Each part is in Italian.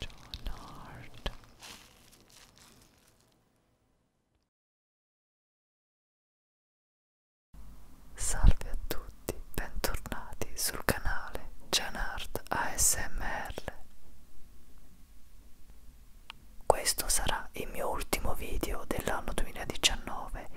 John Hart Salve a tutti, bentornati sul canale Janart ASMR. Questo sarà il mio ultimo video dell'anno 2019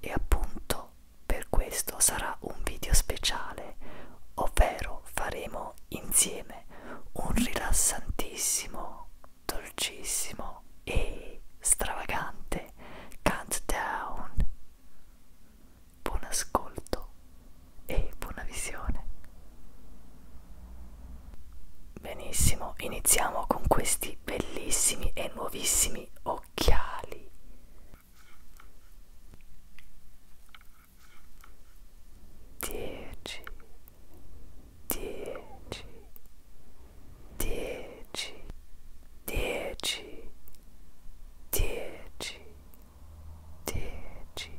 e appunto motivo per questo sarà un video speciale, ovvero faremo insieme un rilassantissimo, dolcissimo e stravagante countdown. Buon ascolto e buona visione. Benissimo, iniziamo con questi bellissimi e nuovissimi occhiali. Dieci, dieci, dieci, dieci, dieci, dieci, dieci.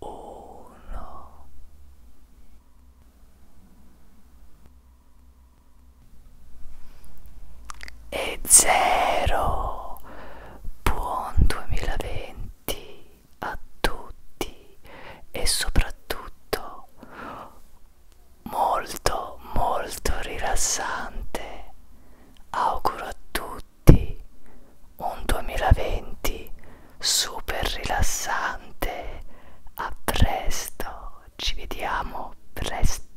uno e zero buon 2020 a tutti e soprattutto molto molto rilassante auguro a tutti tutti un 2020 super rilassante. A presto, ci vediamo presto.